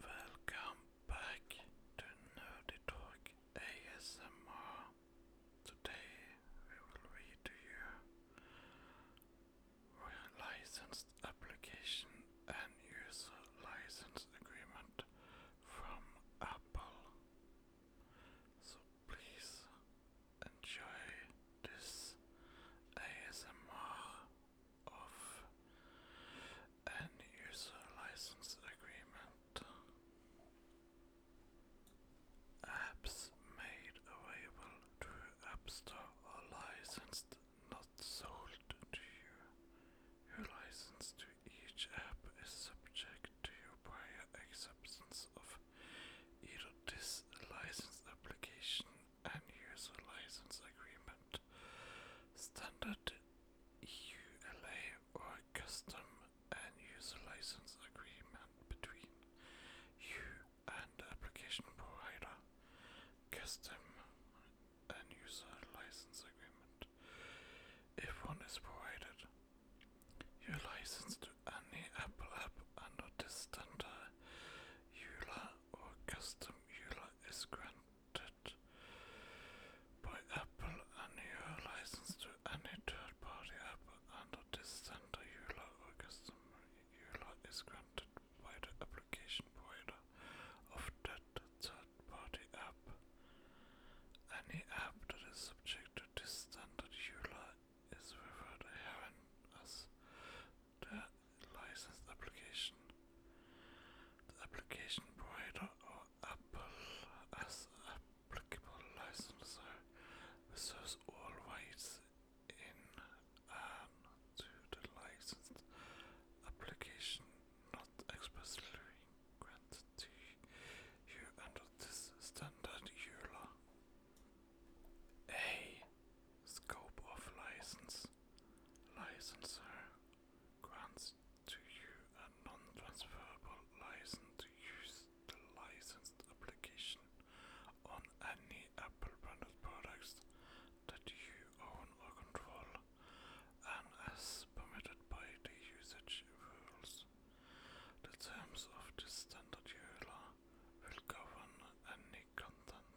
Welcome back to Nerdy Talk ASMR. Today we will read to you licensed application and user license agreement from Apple. So please enjoy this ASMR of an user license agreement. Apps made available through App Store are licensed, not sold to you. Your license to each app is subject to your prior acceptance of either this license application and user license agreement, standard ULA or custom and user license agreement between you and application provider, custom and user license agreement. If one is provided, your license to any Apple app under this standard EULA or custom ULA is granted by Apple and you to any third party app under this center EULA or customer EULA is granted by the application provider of that third party app. Any app that is subject to this standard EULA is without error as the license application. The application provider or Apple as applicable licensor reserves all rights in and to the licensed application not expressly granted to you under this standard EULA. A scope of license this licensor grants to you a non-transferable license to use the licensed application on any Apple branded products that you own or control, and as permitted by the usage rules. The terms of the standard ULA will govern any content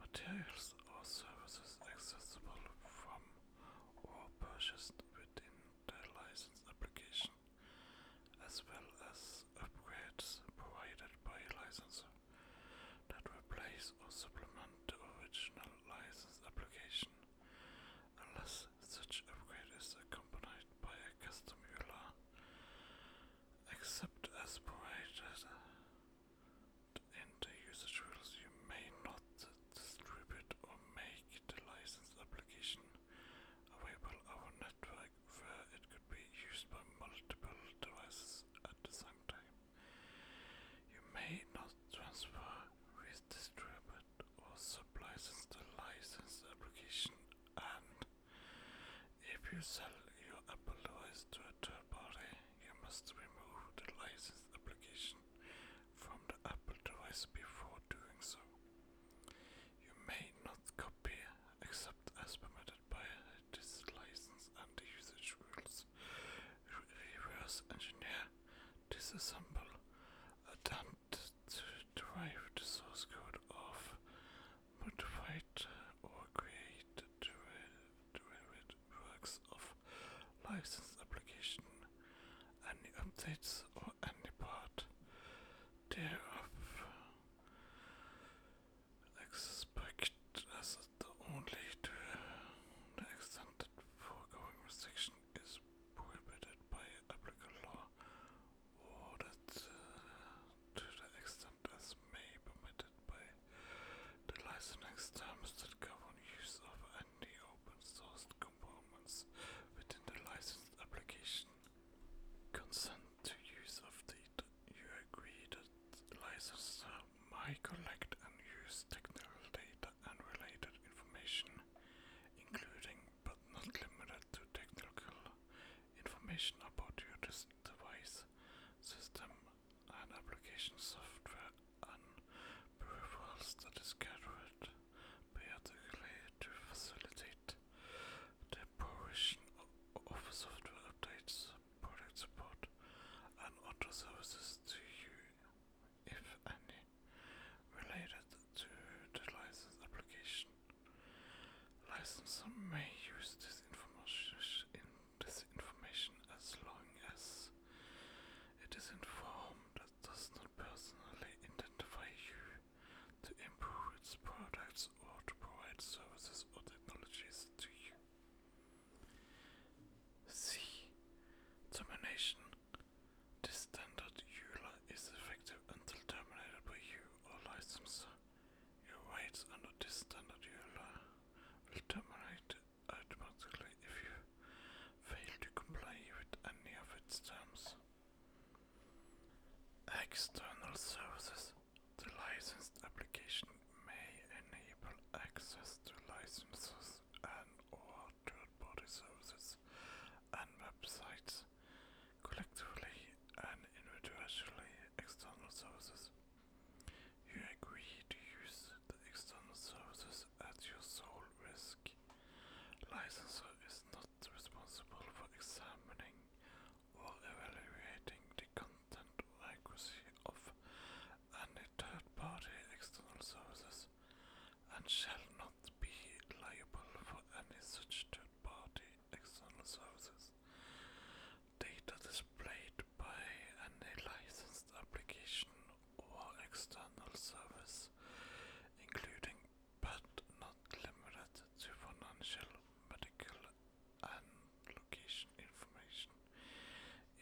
Materials or services accessible from or purchased within the license application, as well as upgrades provided by a licensor that replace or supplement the original license application, unless such upgrade is accompanied by a custom ULA, except as provided enter usage rules, you may not distribute or make the license application available over a network where it could be used by multiple devices at the same time. You may not transfer, redistribute, or sublicense the license application and if you sell your Apple device to a third party, you must remove the license application from the Apple device before doing so. You may not copy except as permitted by this license and usage rules. Reverse engineer, disassemble, attempt to drive the source code of motivate or create derivative works of license application, any updates or any part thereof. Expect as the only to the foregoing restriction is prohibited by applicable law, or that uh, the extent may permit by the licensing terms that govern use of any open source components within the licensed application. Consent to use of data. You agree that the may collect and use technical data and related information, including but not limited to technical information about your design device, device system, and application software and peripherals that is gathered periodically to facilitate the provision of software updates, product support, and other services to you, if any, related to the license application. License may use this information this information as long as it is informed that does not personally identify you to improve its products or to provide services or technologies to you. C. Termination. This standard EULA is effective until terminated by you or licensor. Your rights under this standard uh, will terminate automatically if you fail to comply with any of its terms. External services. The licensed application may enable access to licenses and or third-party services and websites collectively and individually external services. You agree to use the external services at your sole risk. Licensee is not responsible for examining or evaluating the content accuracy of any third party external services and shall not be liable for any such third party external services data displayed by any licensed application or external service, including but not limited to financial, medical, and location information,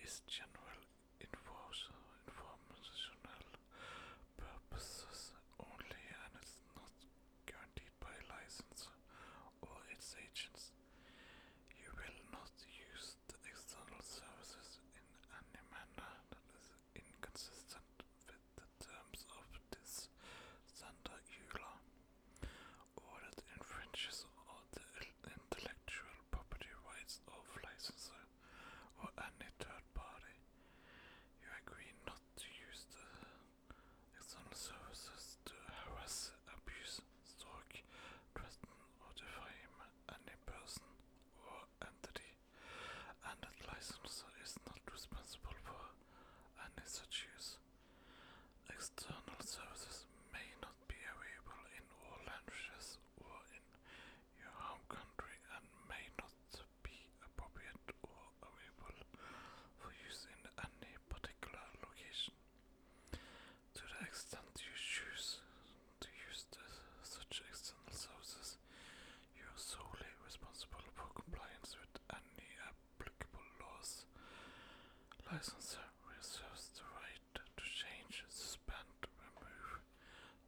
is general informational purposes only and is not guaranteed by license or its agents. You will not use the external services in any manner that is inconsistent with the terms of this Santa EULA, or that infringes on the intellectual property rights of licensor or any third party. You agree not to use the External services to harass, abuse, stalk, threaten, or defame any person or entity, and that licensor is not responsible for any such use. External services may not be available in all languages or in your home country and may not be appropriate or available for use in any particular location. To the extent you choose to use such external sources, you are solely responsible for compliance with any applicable laws. Licensor reserves the right to change, suspend, remove,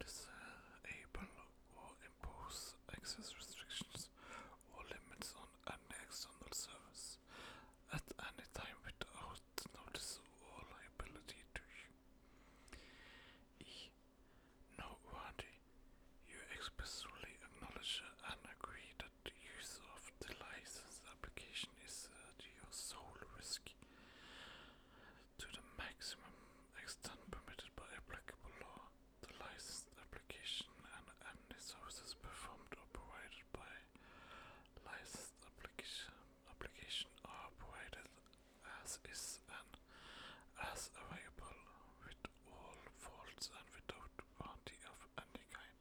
disable, or impose access restrictions or limits on on unexternal service at any time without notice or liability to you. E. Noteworthy, you expressly acknowledge and agree that the use of the license application is at your sole risk to the maximum extent permitted by applicable law. The license application and MD services performed or provided by licensed application, application are provided as is and as available with all faults and without warranty of any kind.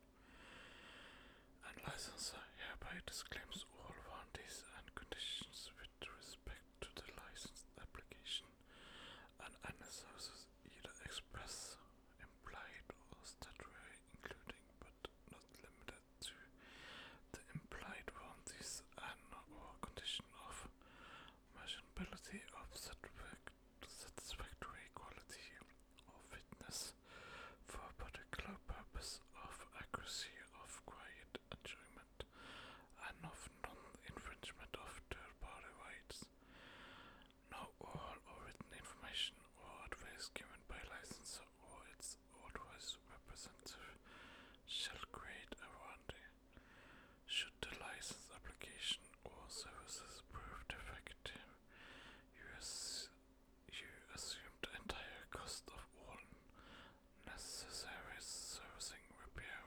And licensor hereby disclaims all warranties and conditions with respect to the licensed application and any services either express, implied, or statutory, including but not limited to the implied warranties and/or condition of measurability of satisfactory quality of fitness for a particular purpose of accuracy of quiet enjoyment and of non-infringement of third-party rights. Not all or written information or advice given by licensor or its authorized representative shall create a warranty. Should the license application or services prove defective, you, ass you assume the entire cost of all necessary servicing, repair,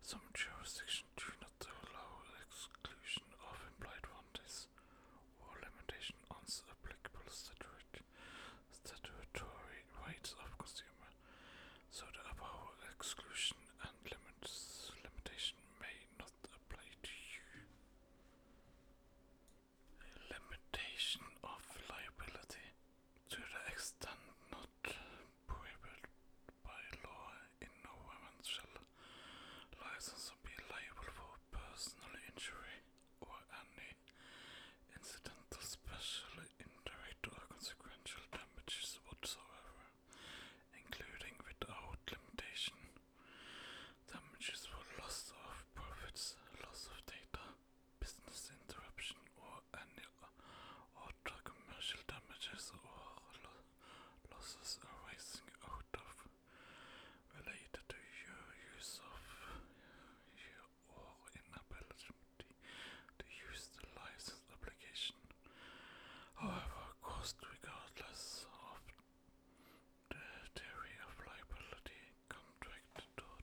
some jurisdictions do not allow exclusion of implied warranties or limitation on applicable statutory, statutory rights of consumer, so the above exclusion and limits, limitation may not apply to you. Limitation of liability to the extent not not prohibited by law no woman shall license be liable for personal injury or any incidental, special, indirect or consequential damages whatsoever, including without limitation damages for loss of profits, loss of data, business interruption or any auto commercial damages or losses arising out of related to your use of your or inability to use the license application. However, cost regardless of the theory of liability contract or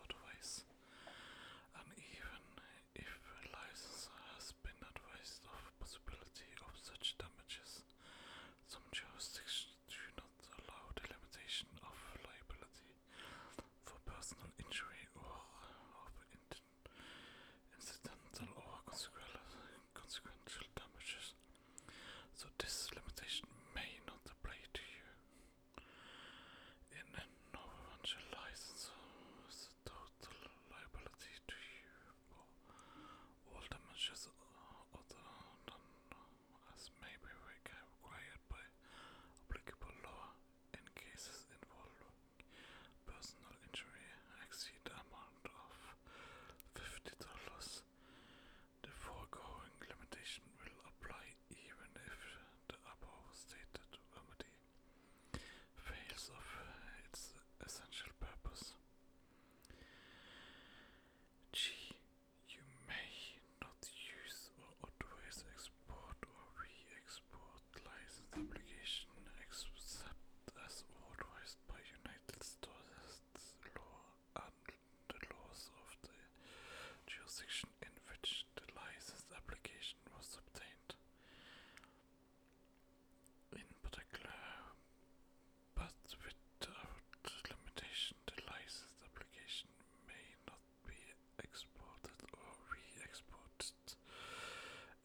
otherwise, and even if a licensor has been advised of possibility of such damages. Some jurisdictions do not allow limitation of liability for personal injury or of incidental or consequential damages, so this limitation may not apply to you. In non-financial license is a total liability to you for all damages other than as may be required by applicable law in cases involving personal injury exceed the amount of $50. The foregoing limitation will apply even if the above stated remedy fails of its essential purpose. G. You may not use or always export or re export license application except as authorized by United States law and the laws of the jurisdiction in which the license application was obtained. In particular, but without limitation, the license application may not be exported or re-exported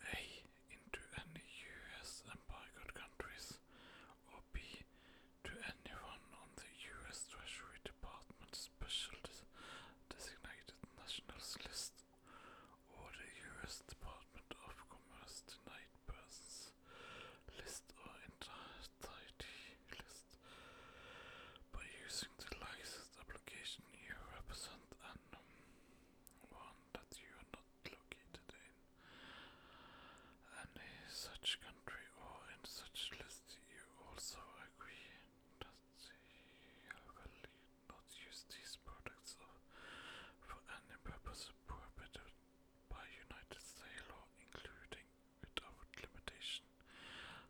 a into any U.S. embargoed countries, or b to anyone on the U.S. Treasury Department's special designated nationals list, or the U.S. Department of Commerce denied persons list or entity list. By using the licensed application, you represent an one that you are not located in any such country or in such list. You also agree that you will not use these products for any purpose prohibited by United States law, including without limitation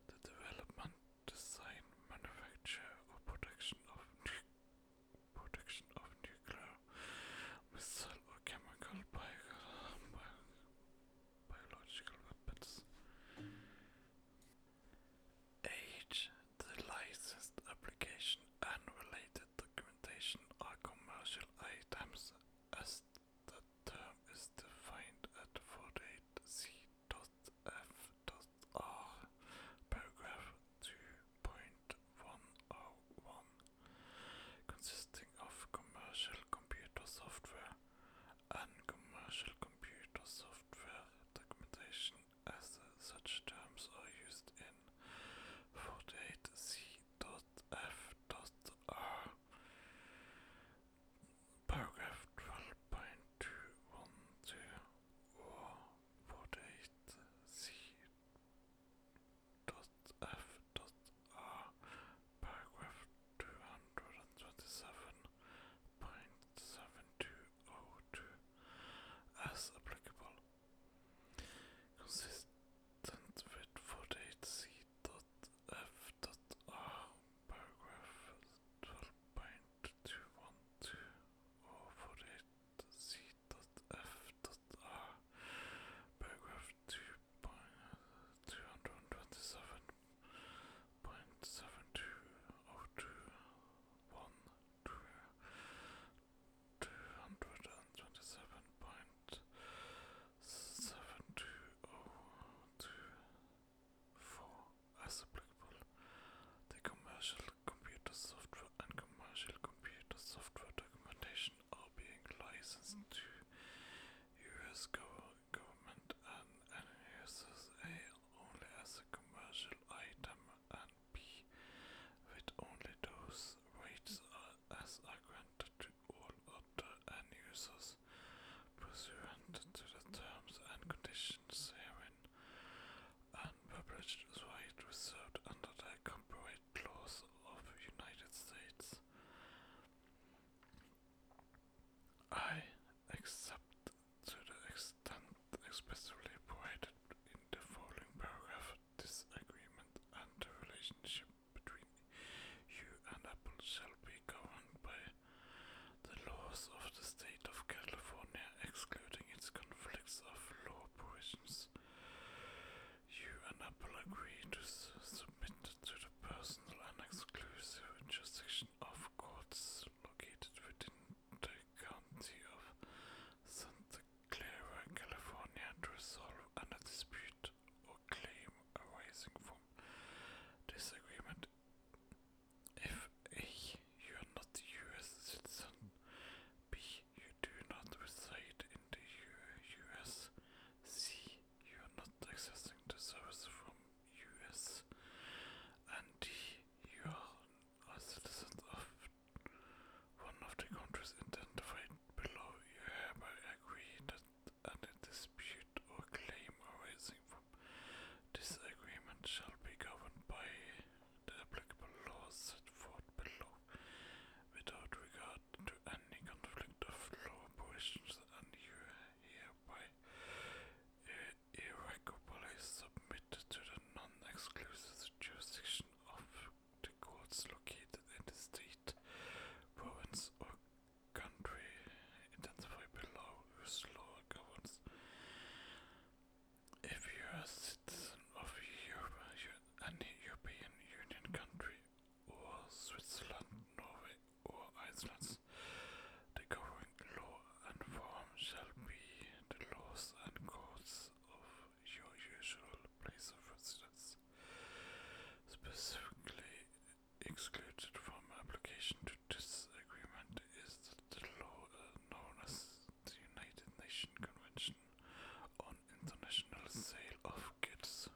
the development, design, manufacture, or production of nuclear missile or chemical biological weapons. Age, the license application, and related documentation are commercial items as the term is defined at 48c.f.r, paragraph 2.101, consisting of commercial computer software and commercial computer software software documentation as such terms are used in 48C.F.R. Paragraph 12.212 or 48C.F.R. Paragraph two hundred and twenty seven point seven two oh two as applicable. Consistent with forty eight C dot F dot R paragraph twelve point two one two or forty eight C dot F dot R paragraph two point two hundred and twenty seven point seven two oh two one two two hundred and twenty seven point seven two oh two four as applicable. The commercial computer software and commercial computer software documentation are being licensed to US go government and, and uses A only as a commercial item and B with only those rights as are granted to all other end users pursuant to the terms and conditions herein unpublished right reserved under the copyright laws of United States. I except to the extent expressly provided in the following paragraph. This agreement and the relationship between you and Apple shall be governed by the laws of the state of California, excluding its conflicts of law provisions. You and Apple agree to submit to the personal and exclusive jurisdiction of courts located within the county of Santa Clara, California, to resolve any dispute or claim arising from this If A, you are not a U.S. citizen, B, you do not reside in the U.S., C, you are not accessing the service from US and you are a of one of the countries identified below, you hereby agree that any dispute or claim arising from this agreement shall be governed by the applicable laws set forth below, without regard to any conflict of law provisions, and you here by irrevocably submitted to the non-exclusive jurisdiction of the courts located in the state, province, or country identified below whose law governs. If you are a citizen of Europe, any European Union country or Switzerland, Norway, or Iceland. governing law and form shall be the laws and courts of your usual place of residence, specifically excluded from application to this agreement is the law uh, known as the United Nations Convention on International Sale of Goods.